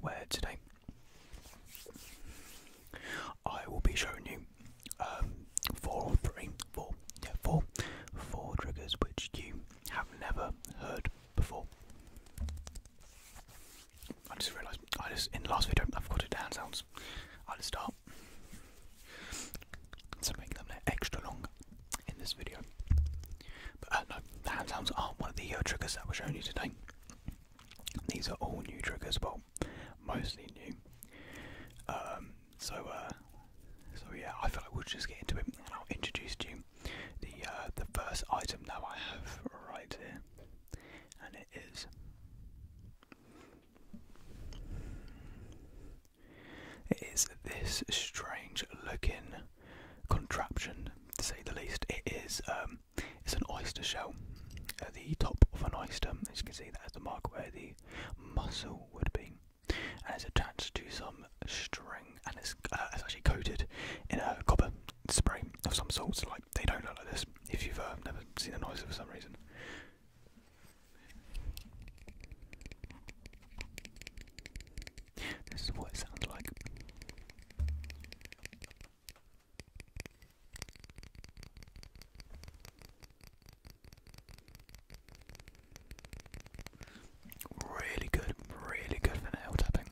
where today I will be showing you um, four or three, four, yeah, four, four triggers which you have never heard before. I just realised I just in the last video I forgot to hand sounds. I'll just stop, So making them extra long in this video. But uh, no, the hand sounds aren't one of the uh, triggers that we're showing you today. These are all new tricks as well, mostly new. Um, so, uh, so yeah, I feel like we'll just get into it, and I'll introduce you the uh, the first item now I have right here, and it is it is this strange looking contraption, to say the least. It is um, it's an oyster shell. At the top of an oyster, as you can see, that is the mark where the muscle would be, and it's attached to some string, and it's, uh, actually coated in a copper spray of some sort. like, they don't look like this if you've uh, never seen an oyster for some reason. This is what it sounds like. Really good, really good for nail tapping.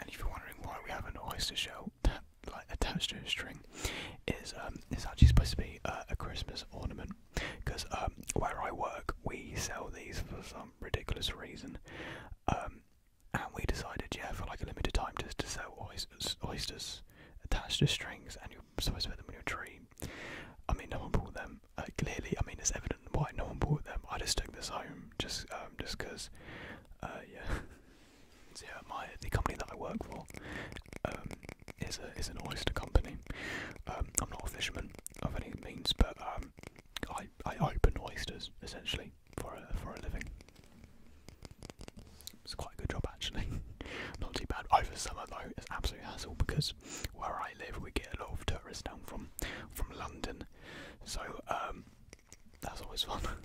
And if you're wondering why we have a noise to like attached to a string, is um, it's actually supposed to be uh, a Christmas ornament because um, where I work we sell these for some ridiculous reason, um, and we decided yeah for like a limited time just to sell oysters, oysters attached to strings, and you're supposed to put them in your tree. I mean, no one bought them. Uh, clearly, I mean, it's evident why no one bought them. I just took this home just um, just because, uh, yeah. yeah, my the company that I work for um, is a is an oyster company. Um, I'm not a fisherman of any means, but um, I I open oysters essentially for a for a living. It's quite a good job actually. not too bad. Over summer though, it's absolute hassle because where I live, we get a lot of tourists down from from London, so um, that's always fun.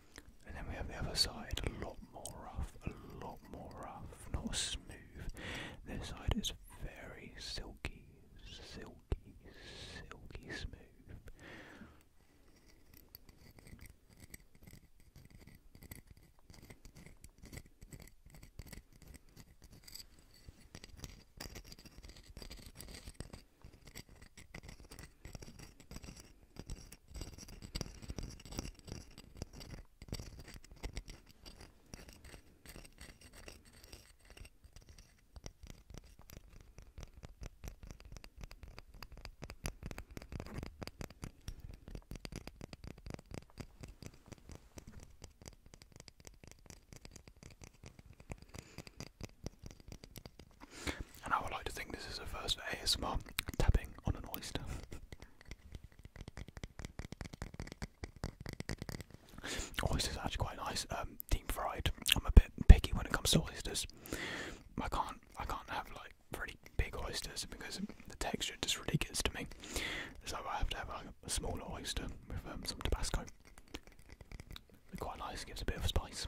And then we have the other side, a lot more rough, a lot more rough, not smooth. This side is very silky, silky, silky smooth. And I would like to think this is the first ASMR tapping on an oyster. Oysters oh, are actually quite nice, um, deep fried. I'm a bit picky when it comes to oysters. I can't, I can't have like really big oysters because the texture just really gets to me. So I have to have a smaller oyster with um, some Tabasco. they quite nice, gives a bit of spice.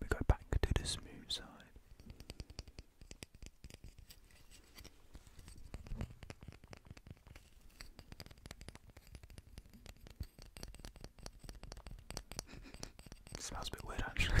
We go back to the smooth side. Smells a bit weird actually.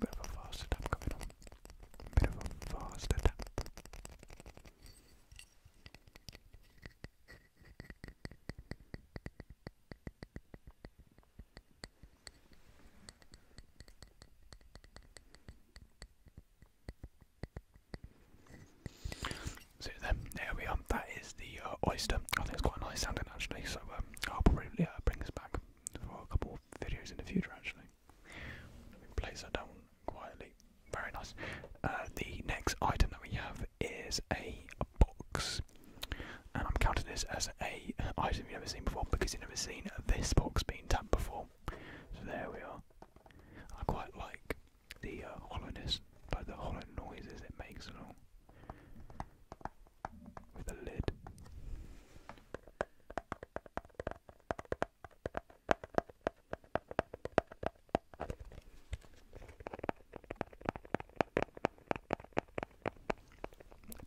Bit of a fast tap coming Bit of a fast tap. So then, there we are. That is the uh, oyster. I think it's quite a nice sounding actually. So um, I'll probably bring this back for a couple videos in the future actually. place that down quietly. Very nice. Uh, the next item that we have is a, box. And I'm counting this as a item you've never seen before because you've never seen this box being tapped before. So there we are. I quite like the uh, hollowness, but the hollow noises it makes and with a lid.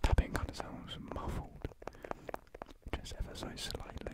Tapping kind of sounds muffled, just ever so slightly.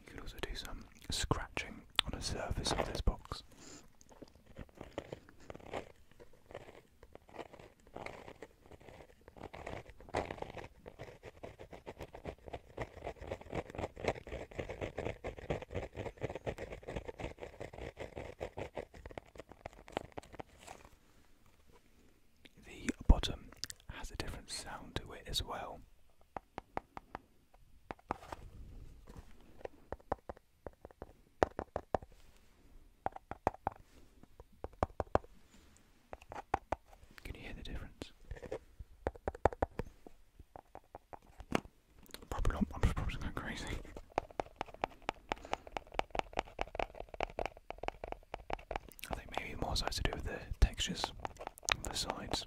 You can also do some scratching on the surface of this box. The bottom has a different sound to it as well. Can you hear the difference? Probably not, I'm probably going crazy. I think maybe more so to do with the textures of the sides.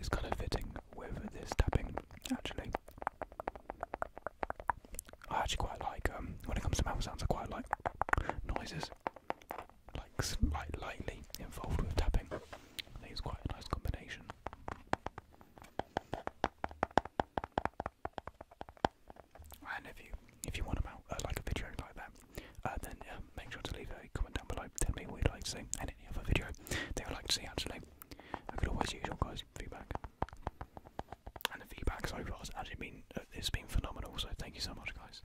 It's kind of fitting with this tapping, actually. I actually quite like um, when it comes to mouth sounds. I quite like noises, like slight, lightly involved with tapping. I think it's quite a nice combination. And if you if you want to uh, like a video like that, uh, then uh, make sure to leave a comment down below. Tell me what you'd like to see and any other video that they would like to see. Actually, I could always use your guys' feedback. And the feedback so far has actually been uh, it's been phenomenal. So thank you so much, guys.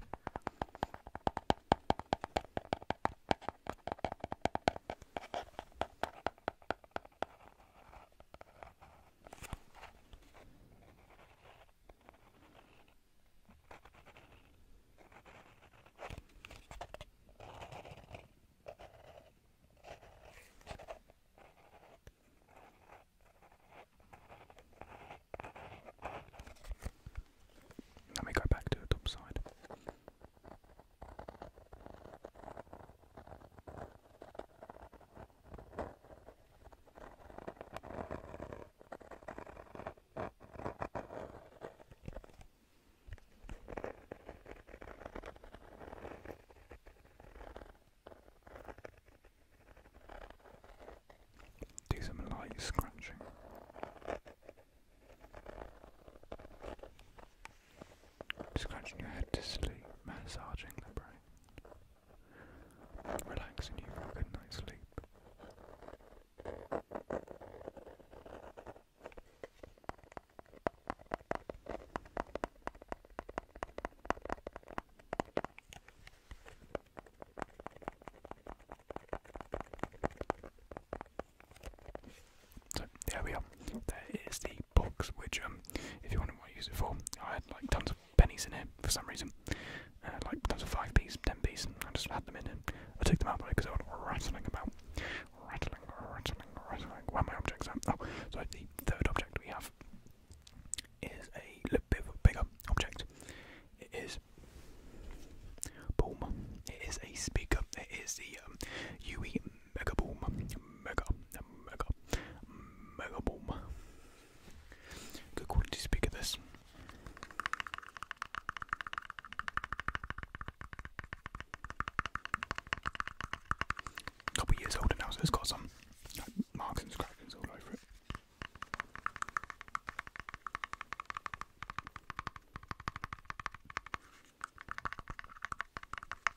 Let me go back to the top side. Do some light scratching. Scratching your head to sleep, massaging the brain, relaxing you for a good night's sleep. So there we are. There is the box, which um, if you wonder what I use it for, I had like tons of pennies in it for some reason, uh, like tons of five p's, ten p's, and I just had them in it. I took them out because I was rattling about, rattling, rattling, rattling. Where my objects are? Oh, so the third object we have is a little bit bigger object. It is boom. It is a speaker. It is the UE um, Mega Boom Mega Mega mega boom. Good quality speaker this. Couple years older now, so it's got some marks and scratches all over it.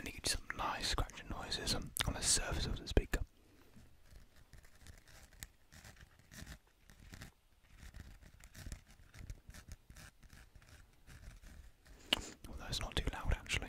And you can some nice scratching noises on the surface of the speaker. Although it's not too loud actually.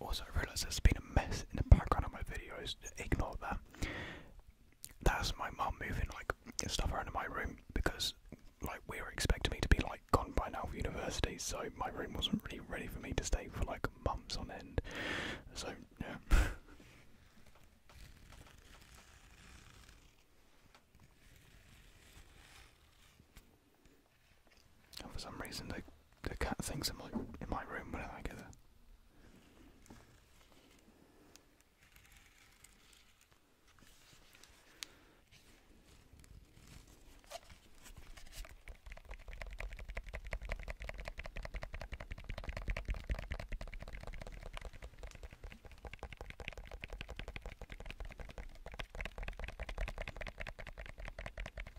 Also, I realise there's been a mess in the background of my videos. Ignore that. That's my mum moving like stuff around in my room because like we were expecting me to be like gone by now for university, so my room wasn't really ready for me to stay for like months on end. So yeah. for some reason, they the cat thinks in my in my room whenever I get there.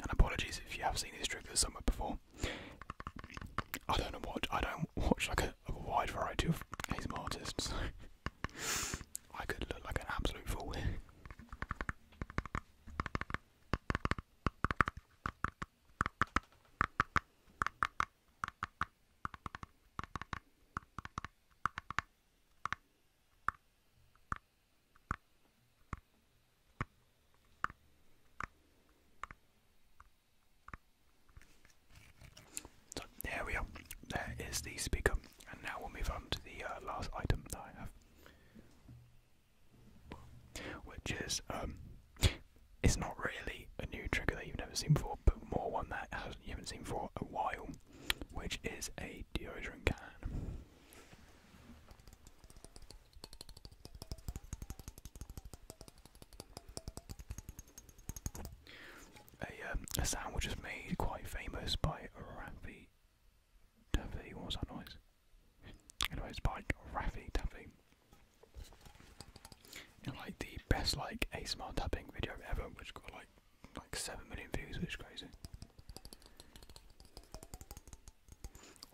And apologies if you have seen this trick somewhere before. I don't know I don't watch like a, wide variety of ASMR artists, I could look like an absolute fool so there we are. There is the speaker, and now we'll move on to the uh, last item that I have which is um, it's not really a new trigger that you've never seen before, but more one that you haven't seen for a while, which is a deodorant can. A, um, a sound which is made quite famous by a Rafi Taffy, what was that noise? Anyways, by like Raffy Taffy. like the best like ASMR tapping video ever, which got like like seven million views, which is crazy.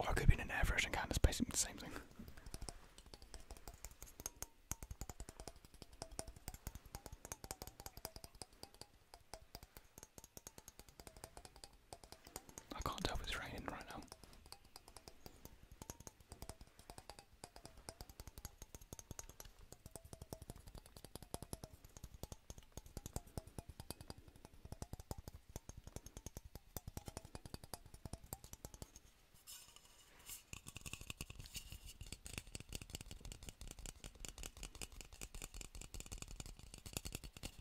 I could be in an air version can it's same thing. I can't tell if it's raining right now.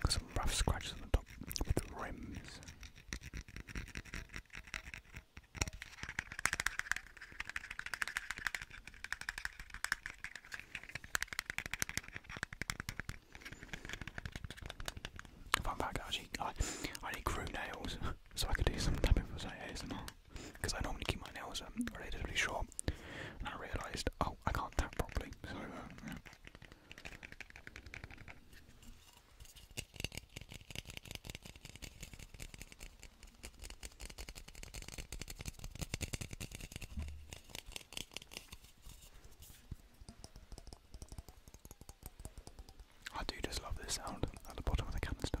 Got some rough scratches on the top of the rims. Fun fact, actually, I, I only grew nails so I could do some tapping for say ASMR because I normally keep my nails um, relatively short and I realised, oh, I can't tap properly, so uh, I do just love this sound at the bottom of the canister.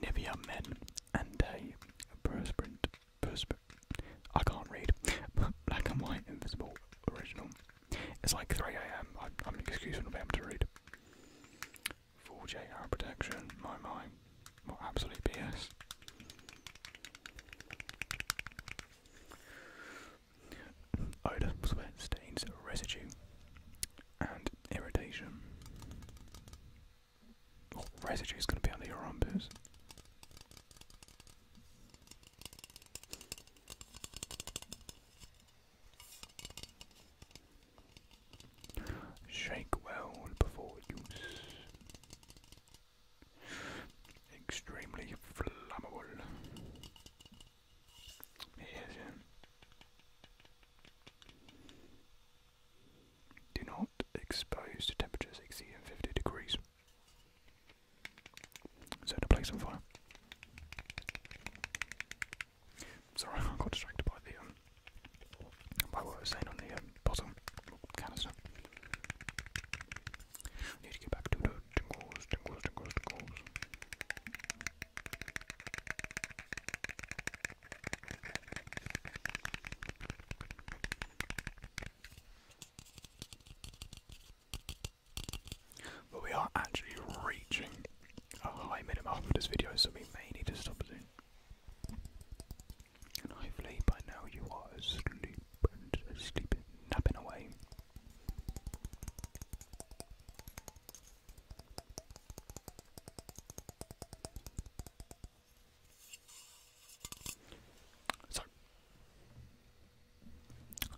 Nivea Men and a perspirant perspir I can't read. Black and white invisible original. It's like 3 a.m. I'm an excuse for not being able to read. 4J arrow protection. My my. What absolute BS odour, sweat, stains, residue, and irritation. Oh, residue is going to be under your armpits? Shake well before use. Extremely flammable. He Do not expose to temperatures exceeding 50 degrees. So the place on fire. Sorry, I got distracted by the um, by what was saying on the um, bottom canister. I need to get back to the tingles, tingles, but we are actually reaching a high minimum for this video, so we may need to stop soon. And hopefully by now you are asleep and asleep, napping away. So,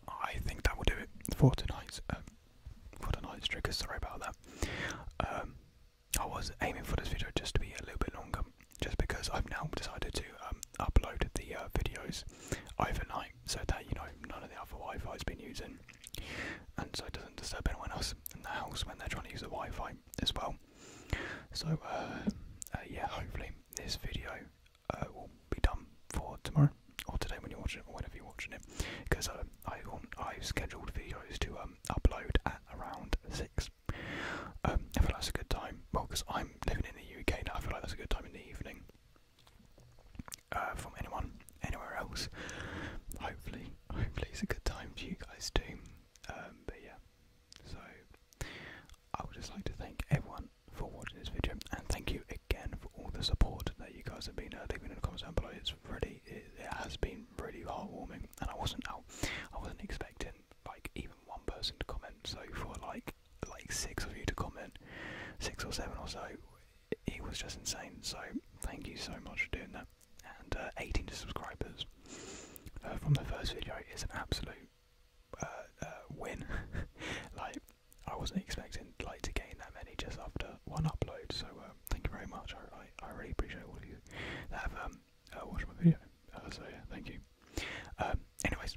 I think that will do it for tonight's um, for tonight's trigger. Sorry about that. Um, I was aiming for this video just to be a little bit longer, just because I've now decided to um, upload the uh, videos overnight, so that you know none of the other Wi-Fi has been using and so it doesn't disturb anyone else in the house when they're trying to use the Wi-Fi as well. So uh, uh, yeah, hopefully this video uh, will be done for tomorrow or today when you're watching it or whenever you're watching it, because uh, I um, I've scheduled videos to um, upload at around six. Um, I feel like that's a good time. Well, because I'm living in the UK now, I feel like that's a good time in the evening uh, from anyone, anywhere else. Hopefully, hopefully it's a good time for you guys too. Um, but yeah, so I would just like to thank everyone for watching this video, and thank you again for all the support that you guys have been uh, leaving in the comments down below. It's really, it, it has been really heartwarming, and I wasn't out, I wasn't expecting like even one person to comment. So for like like six of you to comment, six or seven or so, it was just insane. So thank you so much for doing that. And uh, 18 subscribers uh, from the first video is an absolute uh, win. like I wasn't expecting like to gain that many just after one upload. So thank you very much. I, I, really appreciate all of you that have um, watched my video. so yeah, thank you. Um, anyways